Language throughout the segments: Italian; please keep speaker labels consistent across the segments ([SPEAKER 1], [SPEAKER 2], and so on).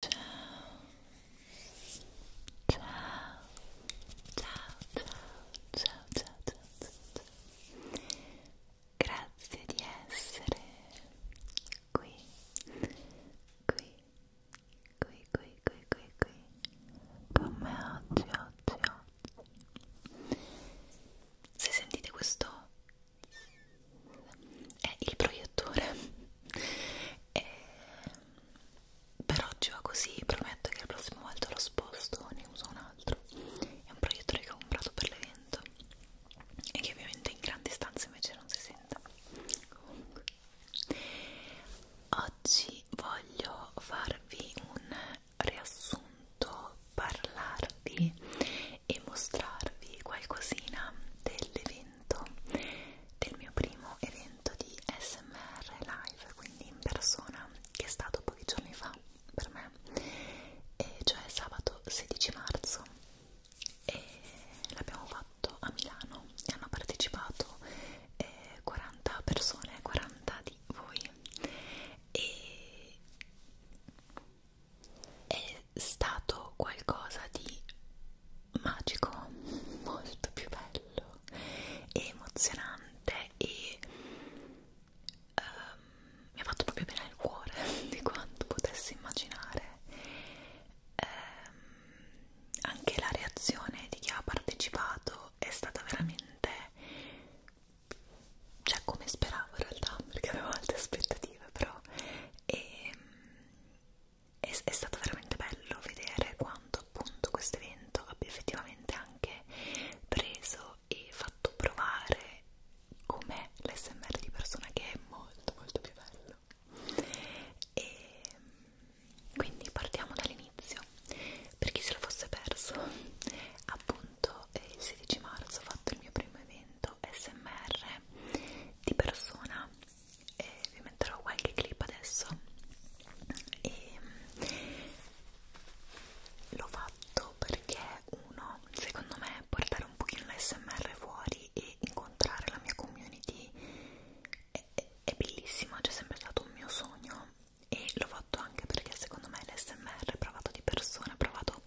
[SPEAKER 1] Ciao. Ciao. Ciao, ciao, ciao, ciao, ciao, ciao. Grazie di essere qui, qui, qui, qui, qui, qui, qui, con me oggi, oggi, oggi. Se sentite questo è il proiettore e eh, per oggi va così, prometto che la prossima volta lo sposto, ne uso un altro è un proiettore che ho comprato per l'evento e che ovviamente in grandi stanze invece non si sente comunque oggi voglio farvi un riassunto parlarvi e mostrarvi qualcosina dell'evento evento, del mio primo evento di SMR live, quindi in persona, che è stato pochi giorni fa per me, e cioè sabato 16 marzo, e l'abbiamo fatto a Milano e hanno partecipato eh, 40 persone, 40 di voi, e è stato qualcosa di magico, molto più bello e emozionante e um, mi ha fatto proprio bene il cuore di quanto potessi immaginare um, anche la reazione di chi ha partecipato è stata veramente cioè come speravo in realtà perché avevo alte aspettative però e ehm, è, è stato veramente bello vedere quanto appunto questo evento abbia effettivamente anche preso e fatto provare com'è l'SMR di persona che è molto molto più bello e quindi partiamo dall'inizio per chi se lo fosse perso appunto eh, il 16 marzo ho fatto il mio primo evento SMR di persona e vi metterò qualche clip adesso e mm, l'ho fatto perché uno secondo me portare un pochino l'SMR fuori e incontrare la mia community è, è, è bellissimo, c'è sempre stato un mio sogno e l'ho fatto anche perché secondo me l'SMR provato di persona, provato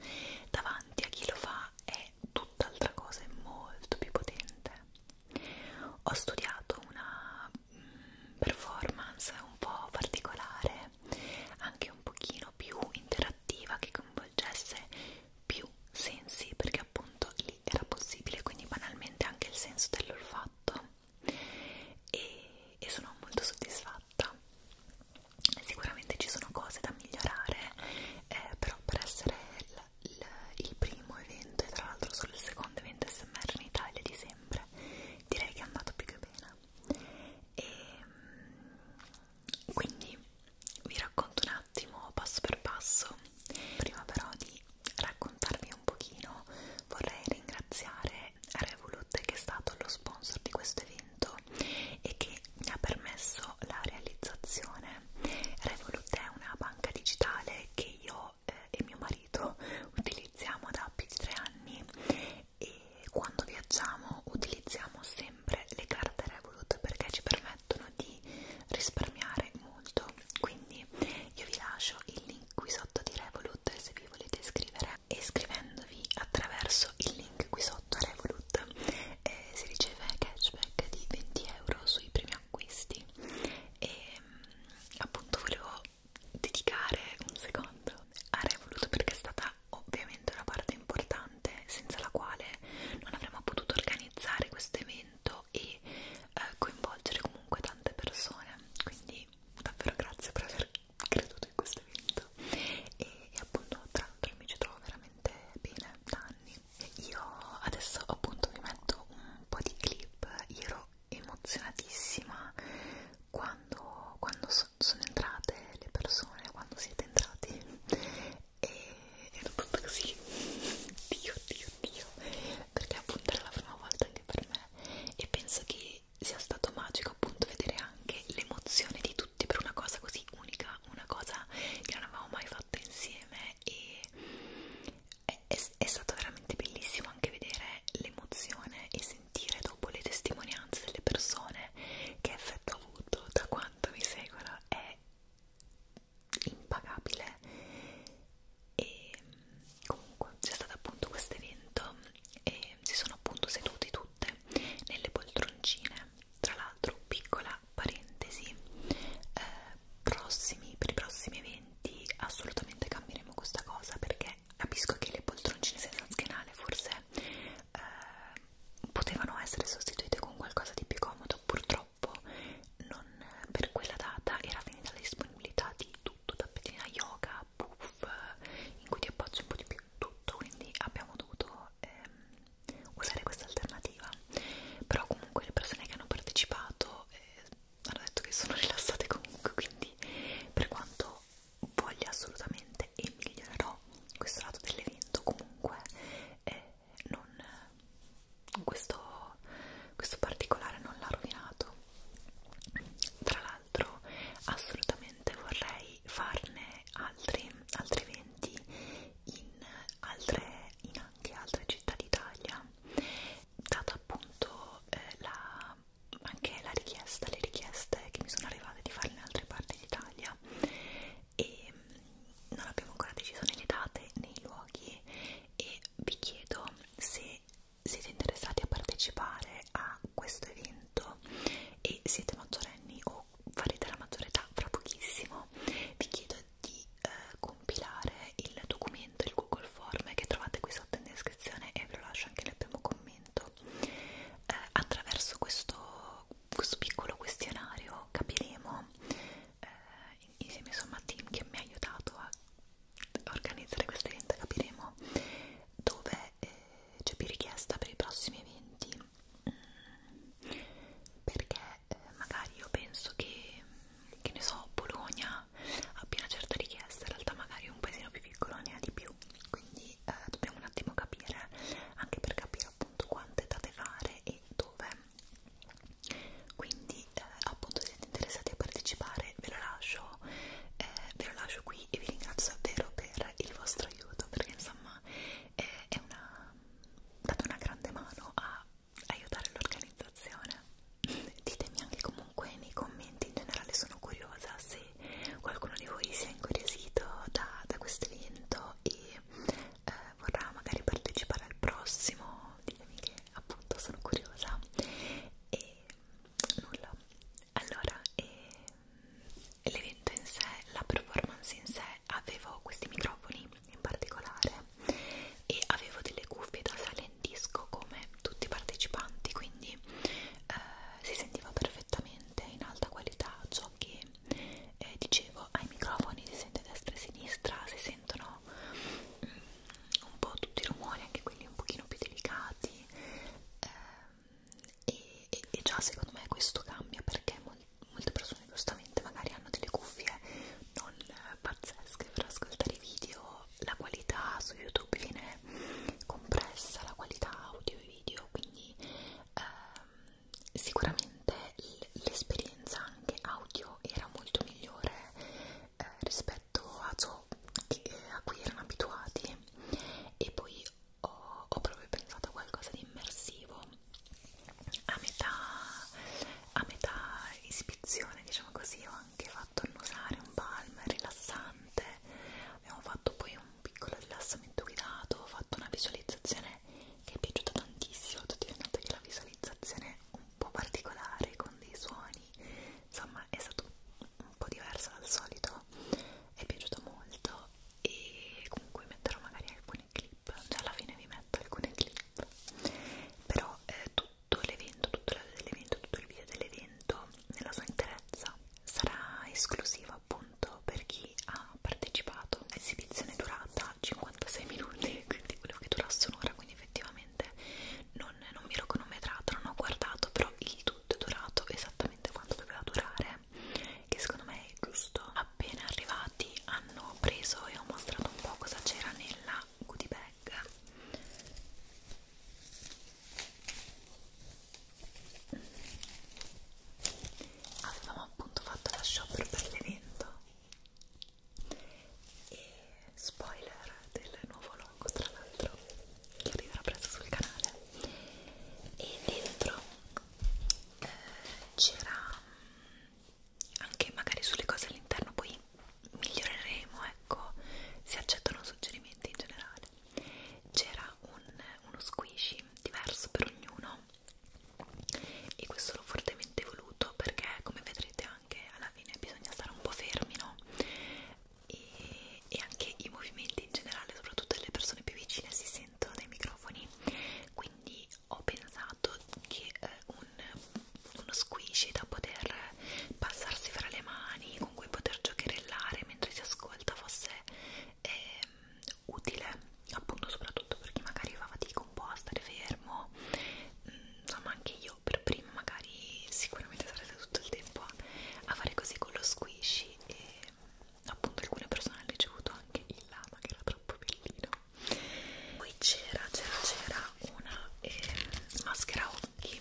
[SPEAKER 1] davanti a chi lo fa è tutt'altra cosa, è molto più potente ho studiato una mm, performance un po' particolare, anche un pochino più interattiva, che coinvolgesse più sensi, perché appunto lì era possibile, quindi banalmente anche il senso dell'olfatto e, e sono molto soddisfatta. Sicuramente ci sono cose da migliorare, eh, però per essere il, il primo evento e tra l'altro solo il secondo evento SMR in Italia di sempre direi che è andato più che bene e ehm, quindi vi racconto un attimo passo per passo prima però di raccontarvi un pochino vorrei ringraziare Revolut che è stato lo sponsor di questo evento e che mi ha permesso la realizzazione Revolut è una banca digitale che io eh, e mio marito utilizziamo da più di tre anni e quando viaggiamo utilizziamo sempre le carte Revolut perché ci permettono di risparmiare molto quindi io vi lascio il link qui sotto di Revolut se vi volete iscrivere e iscrivendovi attraverso il link qui sotto a Revolut eh, si riceve cashback di 20 euro sui primi acquisti e mm, appunto volevo dedicare un secondo a Revolut perché è stata ovviamente una parte importante senza la quale non avremmo potuto organizzare questo evento e eh, coinvolgere comunque tante persone quindi davvero grazie per aver creduto in questo evento e, e appunto tra l'altro mi ci trovo veramente bene da anni io adesso appunto vi metto un po' di clip, io ero emozionatissima quando, quando so, sono entrate le persone, quando siete entrati e ero tutto così, Dio, Dio, Dio, perché appunto era la prima volta anche per me e penso che sia stato magico appunto vedere anche l'emozione di tutti per una cosa così unica, una cosa che non avevamo mai fatto insieme e è, è, è stato veramente bellissimo anche vedere l'emozione e sentire dopo le testimonianze delle persone che effetto ha avuto da quanto mi seguono è impagabile e comunque c'è stato appunto questo evento e si sono appunto seduti tutte nelle poltroncine tra l'altro piccola parentesi eh, prossimi, per i prossimi eventi assolutamente cambieremo questa cosa perché capisco che le poltroncine senza schienale forse eh, potevano essere sostituite con qualcosa di più comodo purtroppo non per quella data era finita la disponibilità di tutto tappettina yoga, puff in cui ti appoggi un po' di più tutto quindi abbiamo dovuto ehm, usare questa alternativa però comunque le persone che hanno partecipato eh, hanno detto che sono rilassate comunque quindi per quanto voglia assolutamente e migliorerò questo lato dell'evento comunque eh, non, questo, questo particolare non l'ha rovinato tra l'altro assolutamente vorrei farne altri, altri eventi in, altre, in anche altre città d'Italia dato appunto eh, la, anche la richiesta, le richieste che mi sono arrivate di fare in altre parti d'Italia e mm, non abbiamo ancora deciso né le date né i luoghi e vi chiedo se siete interessati a partecipare a questo evento e siete maggiorenni o farete la maggiore età fra pochissimo vi chiedo di eh, compilare il documento, il Google Form che trovate qui sotto in descrizione e ve lo lascio anche nel primo commento. Eh, attraverso questo, questo piccolo questionario capiremo eh, insieme insomma a Tim che mi ha aiutato a organizzare questo evento capiremo dove eh, c'è più richiesta per i prossimi eventi mm, perché eh, magari io penso che che ne so, Bologna abbia una certa richiesta, in realtà magari un paesino più piccolo ne ha di più, quindi eh, dobbiamo un attimo capire, anche per capire appunto quante date fare e dove. Quindi eh, appunto se siete interessati a partecipare ve lo lascio, eh, ve lo lascio qui e vi ringrazio davvero per il vostro aiuto perché insomma eh, è una date una grande mano a aiutare l'organizzazione ditemi anche comunque nei commenti in generale sono curiosa se qualcuno di voi si è incuriosito da, da questo evento e eh, vorrà magari partecipare al prossimo ditemi che appunto sono curiosa e nulla allora ehm, l'evento in sé la performance in sé avevo questi microfoni in particolare e avevo delle cuffie da silent disco come tutti i partecipanti quindi eh, si sentiva perfettamente in alta qualità ciò che eh, dicevo ai microfoni si sente destra e sinistra si sentono mm, un po' tutti i rumori anche quelli un pochino più delicati eh, e, e, e già secondo me questo cambia perché molti molte persone giustamente magari hanno delle cuffie non eh, pazzesche per ascoltare i video, la qualità su YouTube viene compressa, la qualità audio e video, quindi ehm, sicuramente l'esperienza anche audio era molto migliore eh, rispetto a ciò che, eh, a cui erano abituati e poi ho, ho proprio pensato a qualcosa di immersivo a metà, a metà esibizione, diciamo così, ho avanti, ha fatto annusare un palm rilassante, abbiamo fatto poi un piccolo rilassamento guidato, ho fatto una visualizzazione che è piaciuta tantissimo, tutti vi notate che la visualizzazione è un po' particolare con dei suoni, insomma è stato un po' diverso dal solito, è piaciuto molto e comunque metterò magari alcuni clip, cioè alla fine vi metto alcune clip, però eh, tu tutto l'evento, tutto l'audio dell'evento, tutto il video dell'evento nella sua interezza sarà esclusiva appunto per chi ha partecipato. L'esibizione è durata 56 minuti, quindi volevo che durasse un'ora, quindi effettivamente non, non mi ero cronometrata, non ho guardato, però il tutto è durato esattamente quanto doveva durare, che secondo me è giusto. Appena arrivati hanno preso e ho mostrato un po' cosa c'era nella una goodie bag avevamo appunto fatto la shopper per l'evento e spoiler del nuovo logo tra l'altro che arriverà presto sul canale e dentro eh, c'era mm, anche magari sulle cose all'interno poi miglioreremo ecco se accettano suggerimenti in generale c'era un, uno squishy diverso per ognuno e questo l'ho fortemente voluto perché come vedrete anche alla fine bisogna stare un po' fermi no? e, e anche i movimenti in generale soprattutto le persone più vicine si sentono dai microfoni quindi ho pensato che eh, un un, uno squishy da poter passarsi fra le mani, con cui poter giocherellare mentre si ascolta fosse eh, utile, appunto soprattutto per chi magari fa fatica un po' a stare fermo, mm, insomma anche io per prima magari sicuramente sarete tutto il tempo a fare così con lo squishy e appunto alcune persone hanno ricevuto anche il lama che era troppo bellino poi c'era c'era c'era una eh, maschera occhi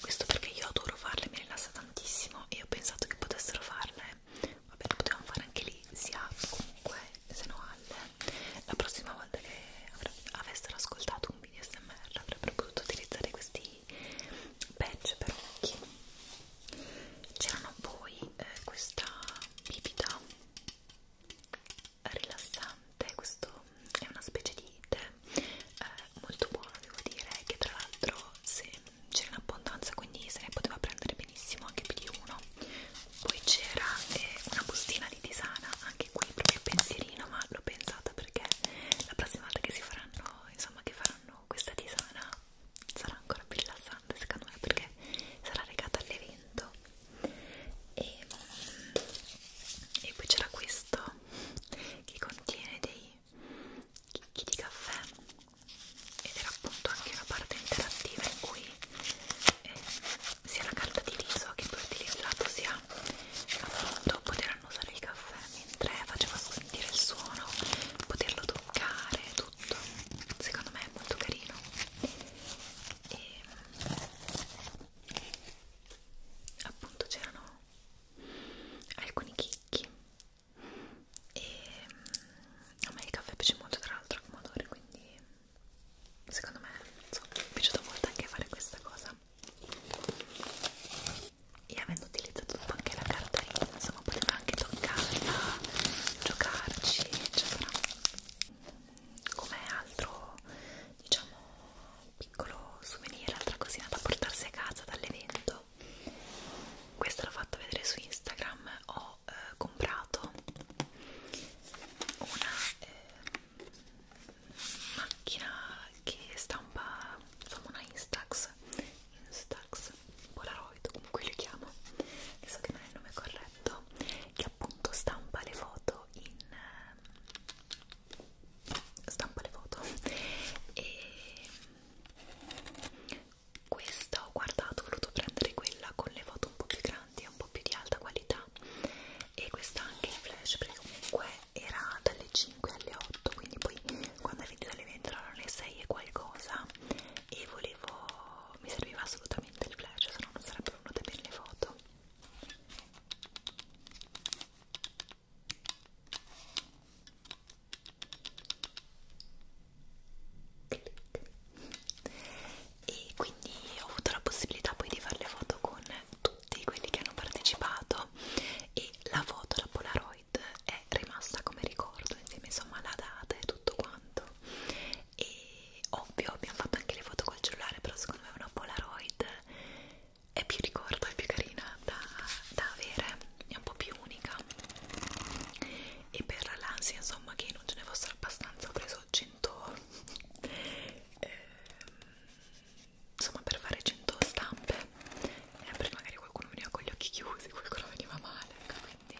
[SPEAKER 1] questo perché io adoro farle mi rilassa tantissimo e ho pensato che potessero farle vabbè le potevamo fare anche lì sia comunque se no alle la prossima volta che avessero ascoltato un video smr avrebbero potuto utilizzare questi badge per occhi c'erano poi eh, questa bibita rilassante, questo è una specie di tè eh, molto buono devo dire, che tra l'altro se c'era in abbondanza quindi se ne poteva prendere benissimo anche più di uno. Poi c'era eh, una bustina di tisana, anche qui proprio pensierino, ma l'ho pensata perché la prossima volta che si faranno, insomma che faranno questa tisana sarà ancora più rilassante secondo me perché sarà legata all'evento. E, mm, e poi c'era questo che contiene dei chicchi di caffè ed era appunto anche una parte interattiva in cui eh, sia la carta di riso che poi ho utilizzato sia appunto poteranno usare il caffè mentre faceva sentire il suono poterlo toccare tutto secondo me è molto carino e appunto c'erano alcuni chicchi e mm, a me il caffè piace molto tra l'altro come odore quindi secondo me so, mi è piaciuto molto anche fare questa cosa e avendo utilizzato anche la carta insomma potevo anche toccarla giocarci eccetera come altro diciamo piccolo souvenir, altra cosina da portarsi a casa dall'evento questa l'ho fatta vedere su Instagram ho eh, comprato una eh, macchina che stampa insomma una Instax Instax Polaroid comunque le chiamo adesso che non è il nome corretto che appunto stampa le foto in stampa le foto e questa ho guardato, ho voluto prendere quella con le foto un po' più grandi, un po' più di alta qualità e questa anche in flash perché comunque era dalle 5 alle 8 quindi poi quando è finito le 20 erano le 6 e qualcosa e volevo, mi serviva assolutamente il flash se no non sarebbero venute bene le foto e quindi ho avuto la possibilità poi di fare le foto con tutti quelli che hanno partecipato e la foto, la Polaroid è rimasta come ricordo insieme insomma alla data e tutto quanto e ovvio abbiamo fatto anche le foto col cellulare però secondo me una Polaroid è più ricordo, è più carina da, da avere, è un po' più unica e per l'ansia insomma che non ce ne fossero abbastanza ho preso 100 eh, insomma per fare 100 stampe eh, perché magari qualcuno veniva con gli occhi chiusi, qualcuno veniva male ecco, quindi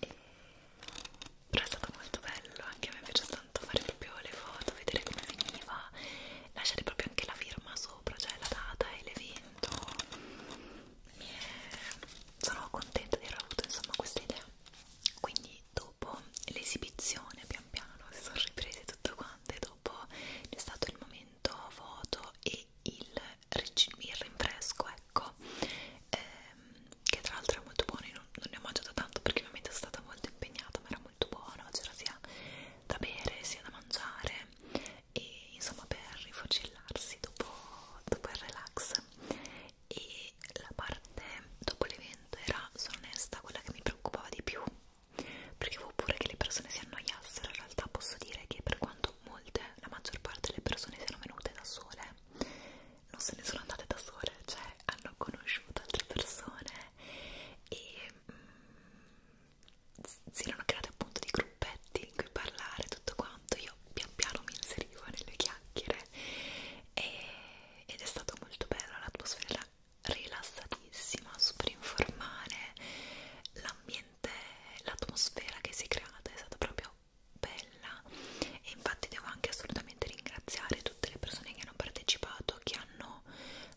[SPEAKER 1] e... però è stato molto bello anche a me è piaciuto soltanto fare proprio le foto, vedere come finiva, lasciare proprio anche la firma sopra, cioè la data e l'evento. Sono contenta di aver avuto insomma questa idea. Quindi dopo l'esibizione pian piano si sono riprese tutte quante, dopo c'è stato il momento foto e il, il rinfresco, ecco, ehm, che tra l'altro è molto buono, io non, non ne ho mangiato tanto perché ovviamente sono stata molto impegnata, ma era molto buono, c'era sia da bere sia da mangiare e insomma per rifocillarsi dopo, dopo il relax e la parte dopo l'evento era, sono onesta, quella che mi preoccupava di più perché avevo pure che le persone si annoiassero, in realtà posso dire che per quanto molte, la maggior parte delle persone siano venute da sole non se ne sono andate da sole, cioè hanno conosciuto altre persone e si erano creati appunto dei gruppetti in cui parlare tutto quanto, io pian piano mi inserivo nelle chiacchiere e, ed è stato molto bello, l'atmosfera rilassatissima, super informale, l'ambiente, l'atmosfera che si è creata è stata proprio bella e infatti devo anche assolutamente ringraziare tutte le persone che hanno partecipato, che hanno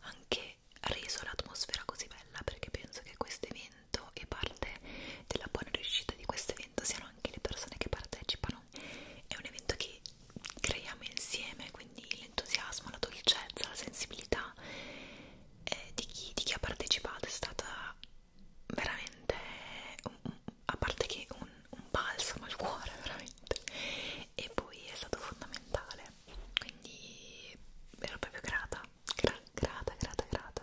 [SPEAKER 1] anche reso l'atmosfera così bella perché penso che questo evento e parte della buona riuscita di questo evento siano anche le persone che partecipano è un evento che creiamo insieme quindi l'entusiasmo, la dolcezza, la sensibilità eh, di, chi, di chi ha partecipato è stata veramente un, un, a parte che un, un balsamo al cuore veramente e poi è stato fondamentale quindi ero proprio grata gra grata grata grata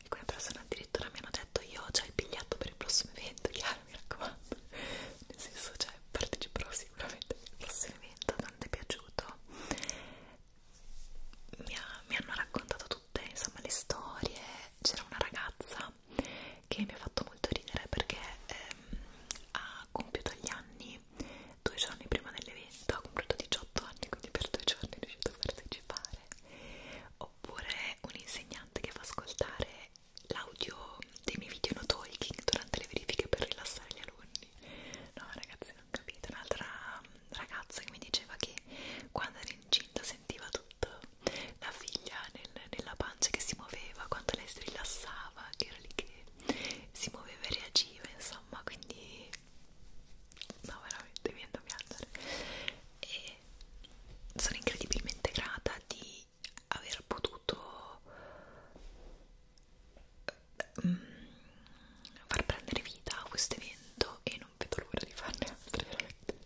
[SPEAKER 1] alcune persone addirittura mi hanno detto io ho già il biglietto per il prossimo evento chiaro mi raccomando nel senso cioè parteciperò sicuramente al prossimo evento tanto è piaciuto mi, ha, mi hanno raccontato tutte insomma le storie c'era una ragazza che mi ha fatto molto ridere perché ehm, ha compiuto gli anni giorni, due giorni prima dell'evento, ha comprato 18 anni, quindi per due giorni è riuscito a partecipare. Oppure un insegnante che fa ascoltare l'audio dei miei video no talking durante le verifiche per rilassare gli alunni. No, ragazzi, non capite. Un'altra mm, ragazza che mi diceva che quando era incinta sentiva tutto, la figlia nel, nella pancia che si muoveva, quando lei si rilassava, che era lì che si muoveva e reagiva insomma quindi no veramente mi viene a piangere e sono incredibilmente grata di aver potuto mm, far prendere vita a questo evento e non vedo l'ora di farne altre veramente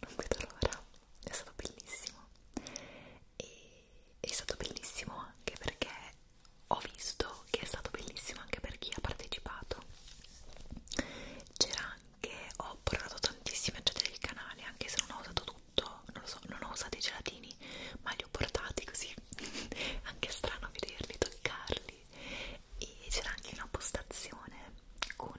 [SPEAKER 1] non vedo l'ora è stato bellissimo e è stato bellissimo anche perché ho visto che è stato bellissimo anche per chi ha partecipato c'era anche ho portato tantissimi oggetti del canale anche se non ho usato tutto non lo so non ho usato i gelatini ma li ho portati così anche strano vederli toccarli e c'era anche una postazione con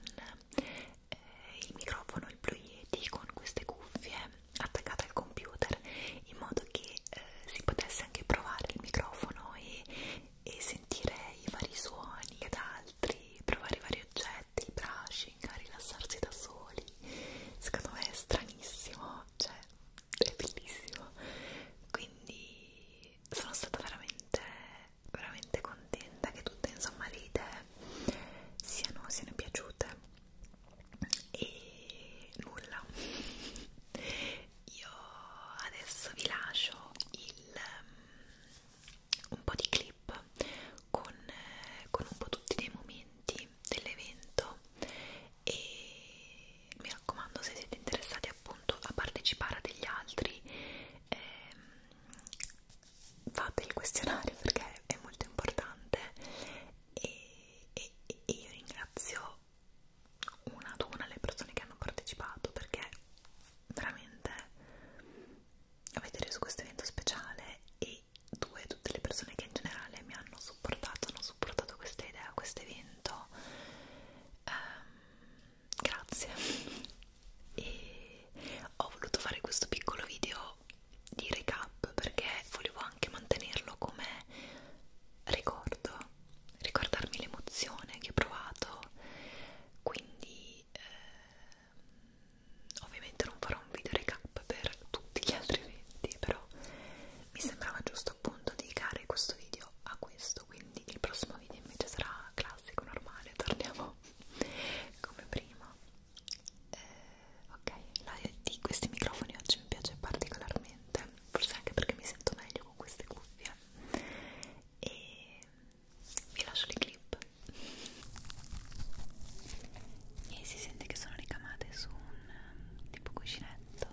[SPEAKER 1] eh, il microfono il Blue Yeti con queste cuffie attaccata al computer in modo che eh, si potesse anche provare il microfono e, e sentire i vari suoni ed altri, provare i vari oggetti, i brushing, a rilassarsi da soli. Secondo me è stranissimo, cioè è bellissimo. Quindi sono stata veramente, veramente contenta che tutte insomma le idee siano, siano piaciute e nulla io adesso vi lascio il, um, un po' di clip con, eh, con un po' tutti dei momenti dell'evento e mi raccomando se siete interessati appunto a partecipare a degli altri ehm, fate il questionario perché è molto importante e, e, e io ringrazio una ad una le persone che hanno partecipato perché veramente avete reso questo evento speciale e due, tutte le persone che in generale mi hanno supportato, hanno supportato questa idea, questo evento um, grazie e ho voluto fare questo piccolo video di recap perché volevo anche mantenerlo come ricordo, ricordarmi l'emozione che ho provato, quindi eh, ovviamente non farò un video recap per tutti gli altri eventi, però mi sembrava giusto appunto dedicare questo video a questo, quindi il prossimo video invece sarà classico, normale, torniamo come prima. Eh, ok la di questi microfoni oggi mi piace particolarmente forse anche perché mi sento meglio con queste cuffie e vi lascio le clip e si sente che sono ricamate su un um, tipo cuscinetto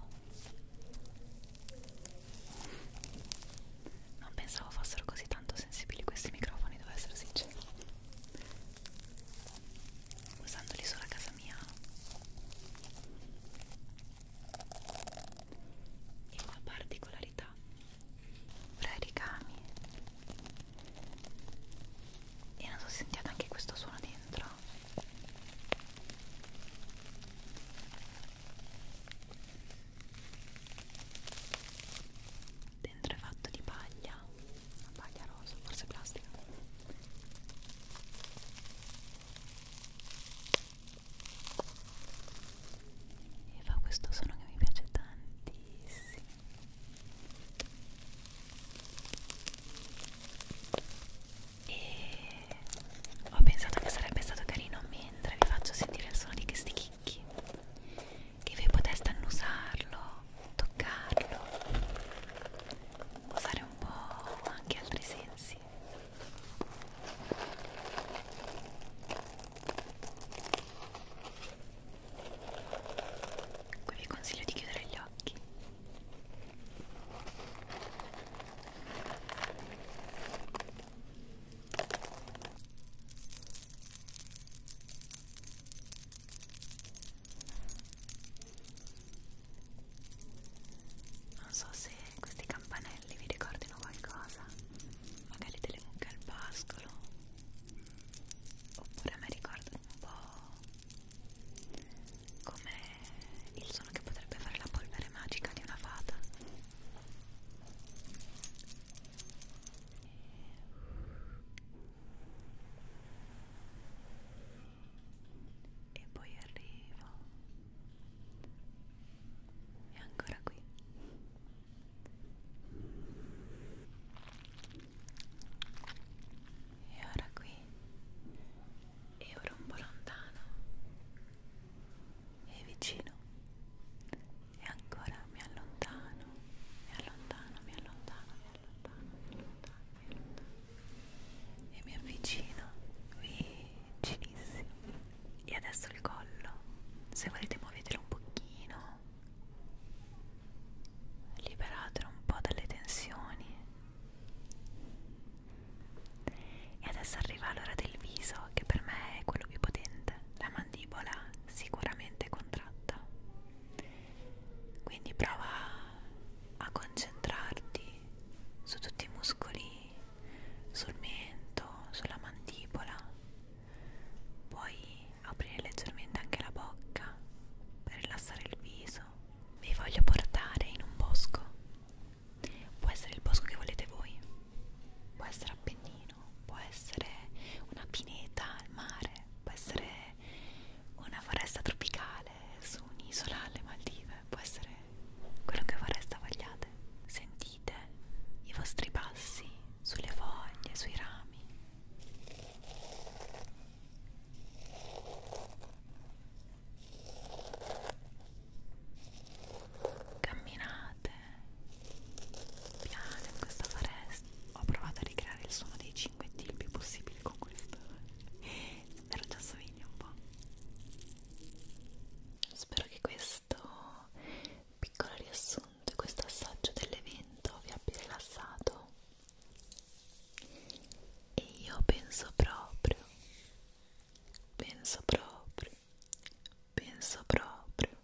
[SPEAKER 1] non pensavo fossero così tanto sensibili questi microfoni devo essere sincero usandoli solo a casa mia e una particolarità fra i ricami e non so se sentiate anche questo suono dentro dentro è fatto di paglia una paglia rosa, forse plastica e fa questo suono che mi piace tantissimo e ho pensato che sarebbe stato carino mentre vi faccio sentire il suono di questi chicchi che voi poteste annusarlo, toccarlo usare un po' anche altri sensi qui vi consiglio di chiudere gli occhi non so se questi campanelli vi ricordino qualcosa magari delle mucche al pascolo oppure a me ricordano un po' come il suono che potrebbe fare la polvere magica di una fata e e poi arrivo e ancora qui e ora qui e ora un po' lontano e vicino e ancora mi allontano mi allontano mi allontano mi allontano mi allontano mi allontano e mi avvicino vicinissimo e adesso il collo se volete muovetelo un pochino liberatelo un po' dalle tensioni e adesso arriva l'ora del viso che per me è quello più potente la mandibola sicuramente contratta quindi prova a concentrarti su tutti i muscoli, sul mento, sulla mandibola. Puoi aprire leggermente anche la bocca per rilassare il viso. Vi voglio portare in un bosco. Può essere il bosco che volete voi. Può essere Appennino, può essere una pineta al mare, può essere una foresta tropicale su un'isola alle Maldive breve può essere quello che vorreste vogliate. Sentite i vostri passi sulle foglie, sui rami. Camminate piano in questa foresta. Ho provato a ricreare il suono dei 5 il più possibile con questo spero ci assomigli un po' spero che questo piccolo riassunto e questo assaggio dell'evento vi abbia rilassato e io penso proprio penso proprio penso proprio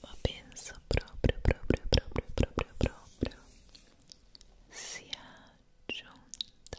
[SPEAKER 1] ma penso proprio proprio proprio proprio proprio sia giunta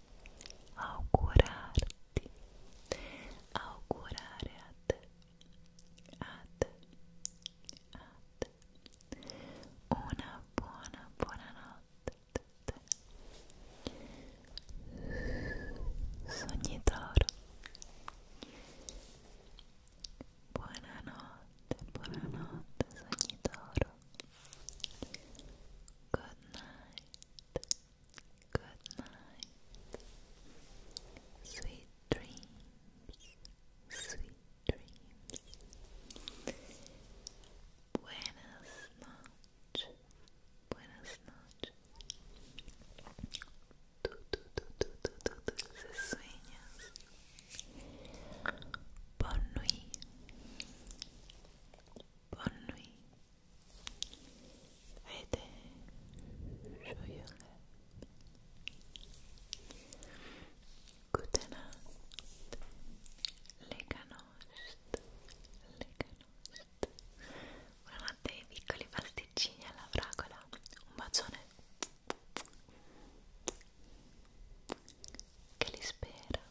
[SPEAKER 1] augurarti, augurare a te, a te, a te, una buona, buona notte a te, sognitoro, buonanotte, buonanotte sognitoro, good night. Good night. Sweet dreams. Sweet dreams. Buenas noches. Buenas noches. Tú, tú, tú, tú, tú, tú, tú, dulces sueños. Bonne nuit. Bonne nuit. Vede, show Gutenacht, Leganost, Leganost. Buonanotte ai piccoli pasticcini alla fragola. Un bacione che li spera.